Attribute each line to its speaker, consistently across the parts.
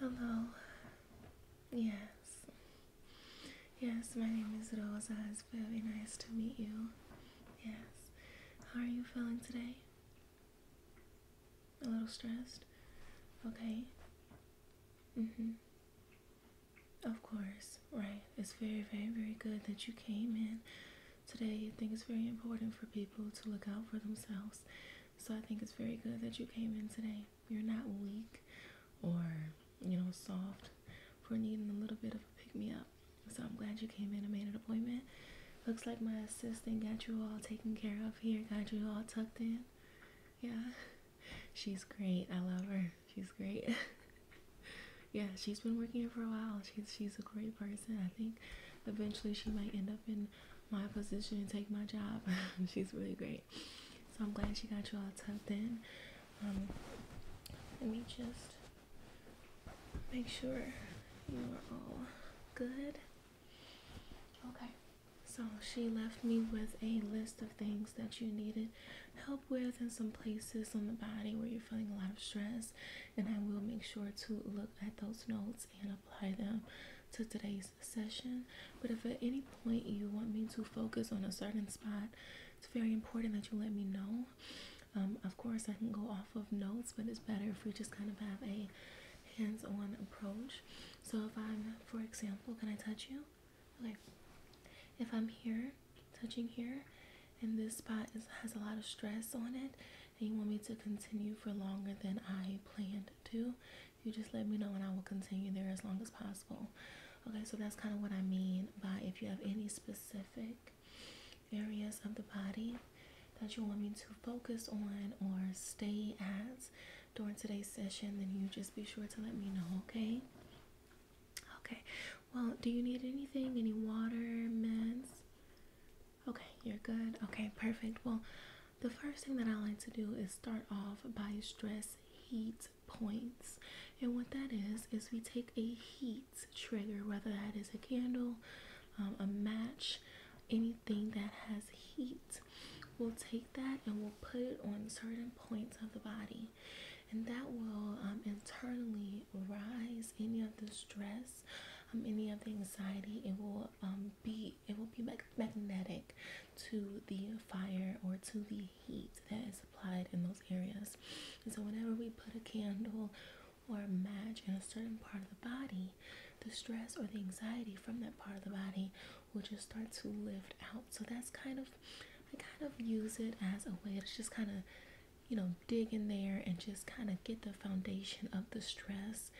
Speaker 1: Hello. Yes. Yes, my name is Rosa. It's very nice to meet you. Yes. How are you feeling today? A little stressed? Okay. Mm-hmm. Of course, right. It's very, very, very good that you came in today. I think it's very important for people to look out for themselves. So I think it's very good that you came in today. You're not weak or, you know, soft for needing a little bit of a pick me up. So I'm glad you came in and made an appointment. Looks like my assistant got you all taken care of here, got you all tucked in. Yeah, she's great. I love her. She's great. yeah, she's been working here for a while. She's she's a great person. I think eventually she might end up in my position and take my job. She's really great. So I'm glad she got you all tucked in. Um, let me just make sure you are all good. Okay. So she left me with a list of things that you needed help with and some places on the body where you're feeling a lot of stress. And I will make sure to look at those notes and apply them to today's session. But if at any point you want me to focus on a certain spot, it's very important that you let me know. Um, of course, I can go off of notes, but it's better if we just kind of have a hands on approach. So, if I'm, for example, can I touch you? Okay. If I'm here, touching here, and this spot has a lot of stress on it, you want me to continue for longer than I planned to, you just let me know and I will continue there as long as possible. Okay, so that's kind of what I mean by if you have any specific areas of the body that you want me to focus on or stay at during today's session, then you just be sure to let me know, okay? Okay, well, do you need anything? Any water, meds? Okay, you're good. Okay, perfect. Well, the first thing that I like to do is start off by stress heat points. And what that is, is we take a heat trigger, whether that is a candle, um, a match, anything that has heat. We'll take that and we'll put it on certain points of the body. And that will um, internally rise any of the stress, um, any of the anxiety. It will um, be it will be mag magnetic to the fire or to the heat that is applied in those areas. And so whenever we put a candle or a match in a certain part of the body, the stress or the anxiety from that part of the body will just start to lift out. So that's kind of I kind of use it as a way to just kind of you know dig in there and just kind of get the foundation of the stress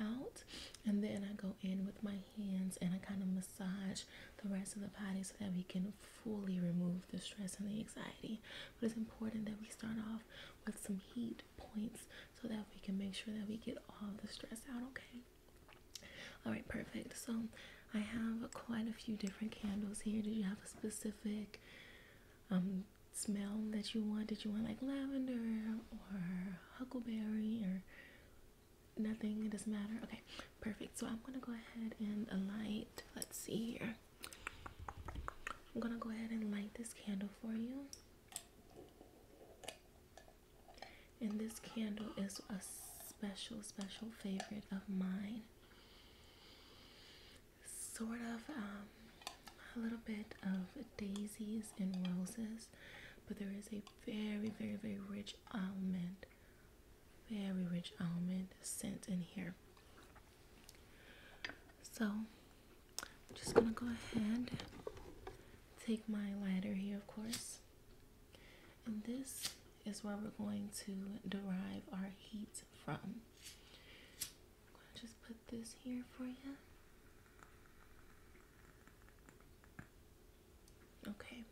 Speaker 1: out and then I go in with my hands and I kind of massage the rest of the body so that we can fully remove the stress and the anxiety. But it's important that we start off with some heat points so that we can make sure that we get all the stress out, okay? All right, perfect. So I have quite a few different candles here. Did you have a specific um smell that you want. Did you want like lavender or huckleberry or nothing? It doesn't matter. Okay, perfect. So I'm gonna go ahead and light. Let's see here. I'm gonna go ahead and light this candle for you. And this candle is a special, special favorite of mine sort of um, a little bit of daisies and roses, but there is a very, very, very rich almond, very rich almond scent in here. So just gonna go ahead, take my lighter here, of course, and this is where we're going to derive our heat from. I'm just put this here for you. Okay.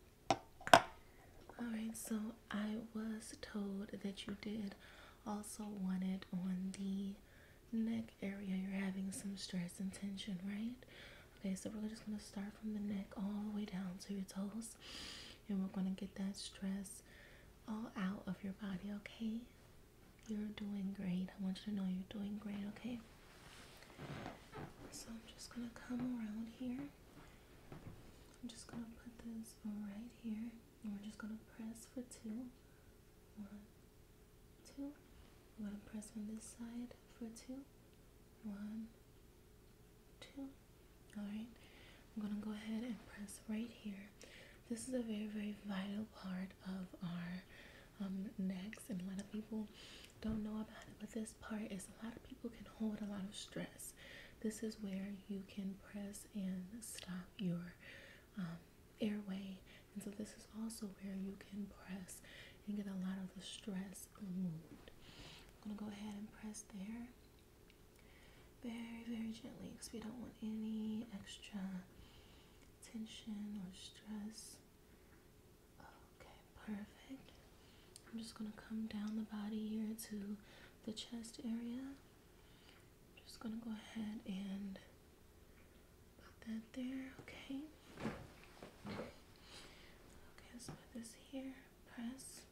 Speaker 1: Alright, so I was told that you did also want it on the neck area. You're having some stress and tension, right? Okay, so we're just going to start from the neck all the way down to your toes. And we're going to get that stress all out of your body, okay? You're doing great. I want you to know you're doing great, okay? So I'm just gonna come around here. I'm just gonna put this right here. And we're just gonna press for two, i I'm gonna press on this side for two, Alright. I'm gonna go ahead and press right here. This is a very, very vital part of our um, necks, and a lot of people don't know about it. But this part is a lot of people can hold a lot of stress. This is where you can press and stop your um, airway, and so this is also where you can press and get a lot of the stress removed. I'm gonna go ahead and press there very, very gently because we don't want any extra tension or stress. Okay, perfect. I'm just going to come down the body here to the chest area. I'm just going to go ahead and put that there, okay? Okay, let's put this here. Press.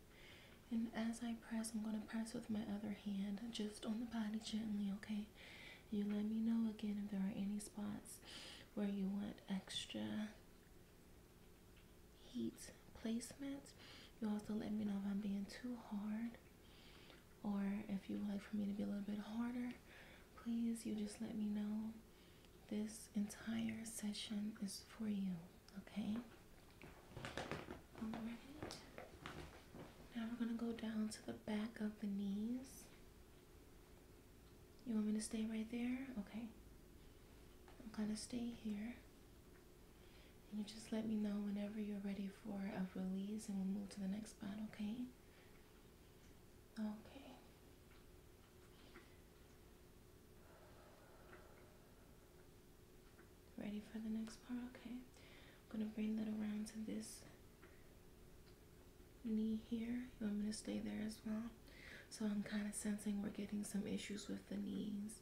Speaker 1: And as I press, I'm going to press with my other hand just on the body gently, okay? You let me know again if there are any spots where you want extra heat placement. You also let me know if I'm being too hard or if you would like for me to be a little bit harder. Please, you just let me know. This entire session is for you, okay? Now we're going to go down to the back of the knees. You want me to stay right there? Okay. I'm going to stay here. And you just let me know whenever you're ready for a release and we'll move to the next part. okay? Okay. Ready for the next part? Okay. I'm gonna bring that around to this knee here. I'm going to stay there as well? So I'm kind of sensing we're getting some issues with the knees.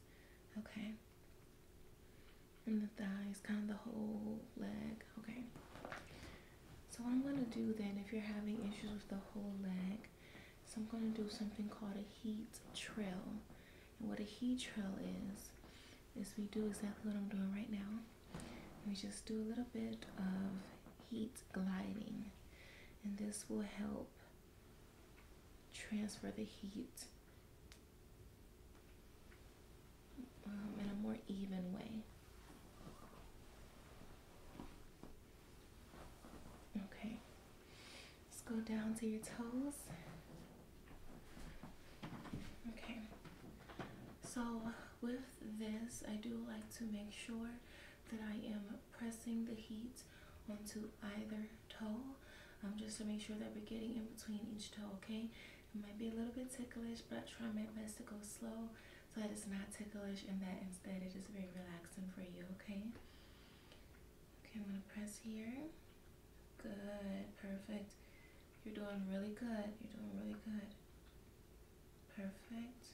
Speaker 1: Okay. And the thighs, kind of the whole leg. Okay. So what I'm going to do then, if you're having issues with the whole leg, so I'm going to do something called a heat trail what a heat trail is, is we do exactly what I'm doing right now. We just do a little bit of heat gliding. And this will help transfer the heat um, in a more even way. Okay, let's go down to your toes. Okay, so with this, I do like to make sure that I am pressing the heat onto either toe um, just to make sure that we're getting in between each toe, okay? It might be a little bit ticklish, but try my best to go slow so that it's not ticklish and that instead it is very relaxing for you, okay? Okay, I'm gonna press here. Good, perfect. You're doing really good. You're doing really good. Perfect.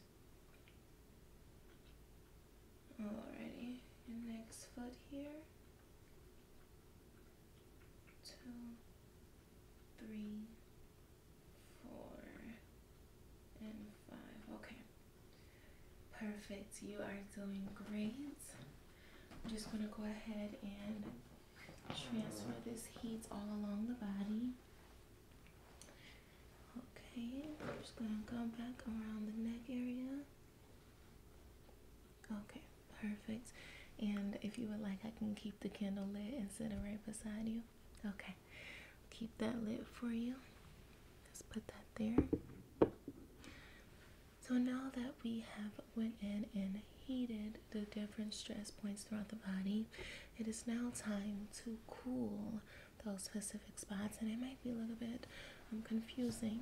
Speaker 1: Alrighty, next foot here. Two, three, four, and five. Okay. Perfect. You are doing great. I'm just going to go ahead and transfer this heat all along the body. Okay, I'm just going to come back around the neck area. Okay, perfect. And if you would like, I can keep the candle lit and sit it right beside you. Okay, keep that lit for you. Let's put that there. So now that we have went in and heated the different stress points throughout the body, it is now time to cool those specific spots. And it might be a little bit um, confusing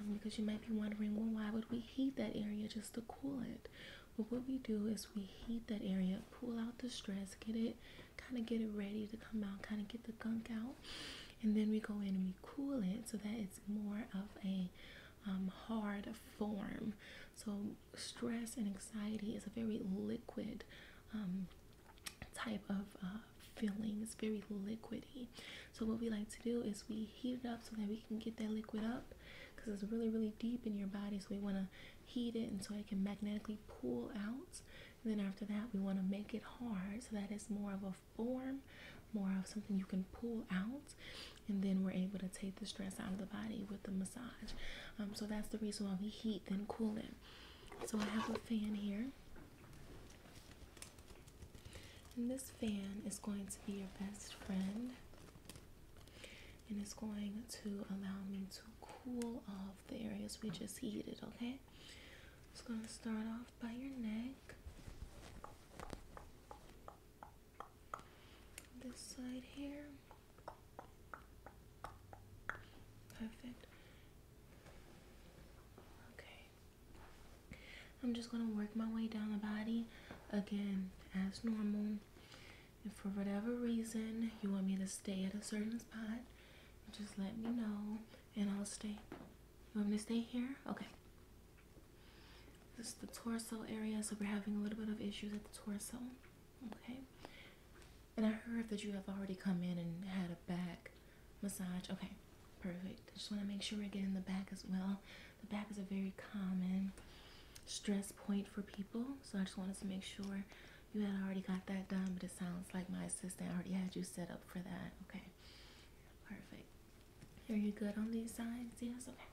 Speaker 1: um, because you might be wondering, well, why would we heat that area just to cool it? But what we do is we heat that area, pull out the stress, get it, kind of get it ready to come out, kind of get the gunk out and then we go in and we cool it so that it's more of a um, hard form. So stress and anxiety is a very liquid um, type of uh, feeling. It's very liquidy. So what we like to do is we heat it up so that we can get that liquid up because it's really really deep in your body. So we want to heat it and so it can magnetically pull out. And then after that we want to make it hard so that it's more of a form, more of something you can pull out, and then we're able to take the stress out of the body with the massage. Um, so that's the reason why we heat then cool it. So I have a fan here. And this fan is going to be your best friend. And it's going to allow me to cool off the areas we just heated, okay? It's going to start off by your neck. This side here. Perfect. Okay. I'm just going to work my way down the body again as normal. If for whatever reason you want me to stay at a certain spot, just let me know and I'll stay. You want me to stay here? Okay. This is the torso area, so we're having a little bit of issues at the torso. Okay. And I heard that you have already come in and had a back massage. Okay, perfect. I just want to make sure we're getting the back as well. The back is a very common stress point for people, so I just wanted to make sure you had already got that done, but it sounds like my assistant already had you set up for that. Okay. Perfect. Are you good on these sides? Yes? Okay.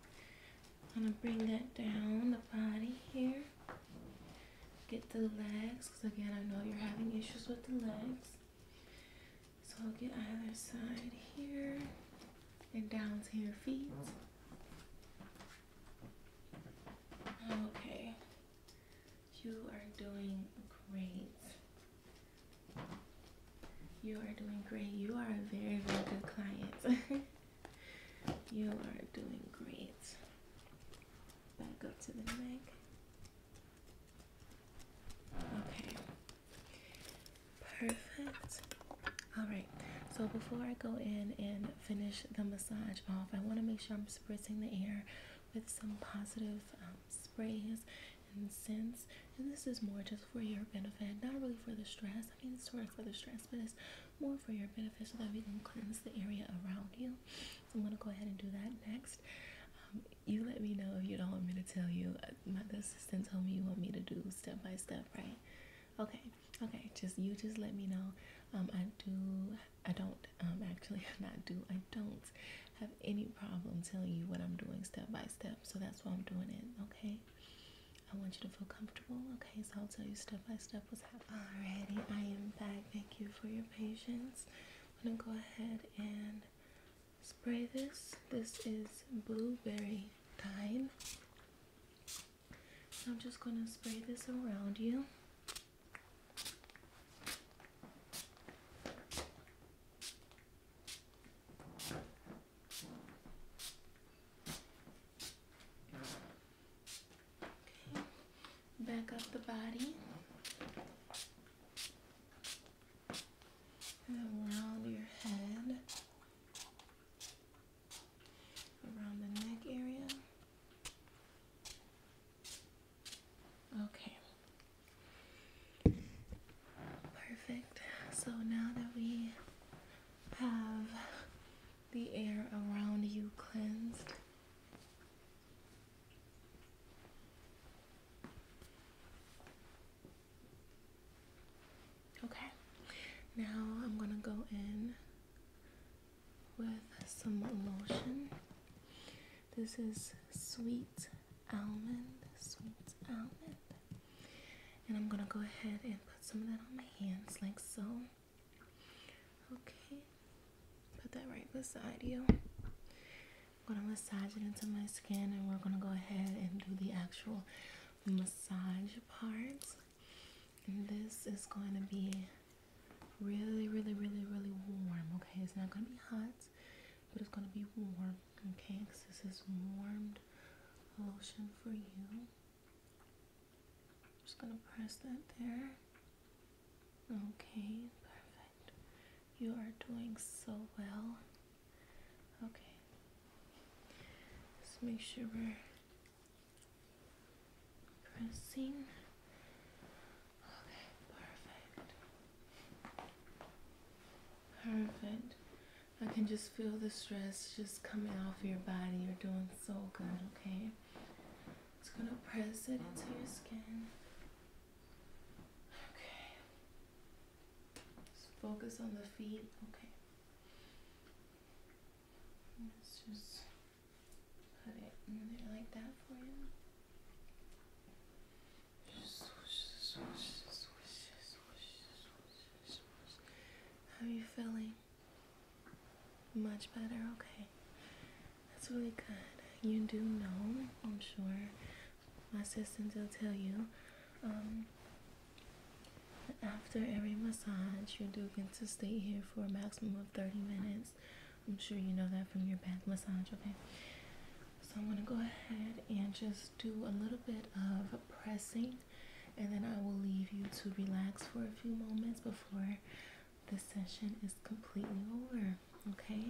Speaker 1: I'm going to bring that down, the body here. Get the legs, because again, I know you're having issues with the legs. So I'll get either side here and down to your feet. Okay. You are doing great. You are doing great. You are a very, very good client. you are doing great. Back up to the neck. Okay. Perfect. All right. So before I go in and finish the massage off, I want to make sure I'm spritzing the air with some positive um, sprays and scents. And this is more just for your benefit, not really for the stress. I mean, it's sort of for the stress, but it's more for your benefit so that we can cleanse the area around you. I'm gonna go ahead and do that next. Um, you let me know if you don't want me to tell you. Uh, my assistant told me you want me to do step by step, right? Okay, okay. Just you just let me know. Um, I do. I don't. Um, actually, not do. I don't have any problem telling you what I'm doing step by step. So that's why I'm doing it, okay? I want you to feel comfortable, okay? So I'll tell you step by step what's happening. Alrighty, I am back. Thank you for your patience. I'm gonna go ahead and spray this. This is blueberry thyme. I'm just gonna spray this around you back up the body and around your head, around the neck area. Okay. Perfect. So now that we have the air around you cleansed, okay. Now I'm going to go in with some lotion. This is sweet almond, sweet almond. And I'm gonna go ahead and put some of that on my hands like so. Okay, put that right beside you. I'm gonna massage it into my skin and we're gonna go ahead and do the actual massage part. And this is going to be really, really, really, really warm. Okay, it's not gonna be hot but it's gonna be warm, okay? Because this is warmed lotion for you. Just gonna press that there. Okay, perfect. You are doing so well. Okay. Let's make sure we're pressing Okay, perfect. Perfect. I can just feel the stress just coming off your body. You're doing so good, okay? It's gonna press it into your skin. Okay. Just focus on the feet, okay? Let's just put it in there like that for you. How are you feeling? Much better? Okay. That's really good. You do know, I'm sure, my assistants will tell you, um, after every massage, you do get to stay here for a maximum of 30 minutes. I'm sure you know that from your back massage, okay? So I'm gonna go ahead and just do a little bit of pressing and then I will leave you to relax for a few moments before the session is completely over, okay?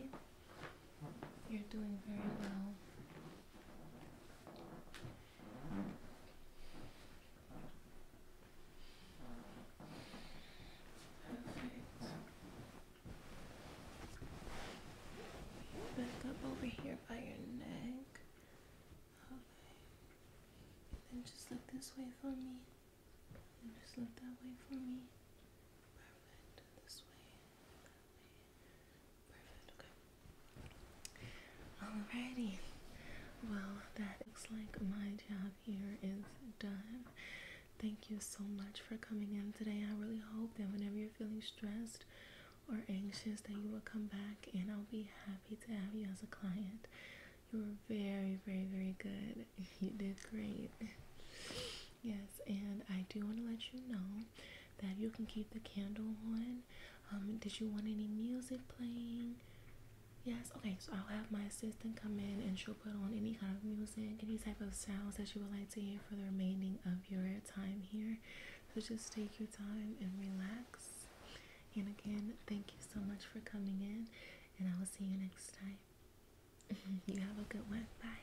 Speaker 1: You're doing very well. Back up over here by your neck. Alright. then just look this way for me. And just look that way for me. Perfect. This way. That way. Perfect. Okay. Alrighty. Well, that looks like my job here is done. Thank you so much for coming in today. I really hope that whenever you're feeling stressed or anxious that you will come back and I'll be happy to have you as a client. You were very, very, very good. You did great. Yes, and I do want to let you know that you can keep the candle on. Um, did you want any music playing? Yes, okay, so I'll have my assistant come in and she'll put on any kind of music, any type of sounds that you would like to hear for the remaining of your time here. So just take your time and relax. And again, thank you so much for coming in, and I will see you next time. you have a good one. Bye.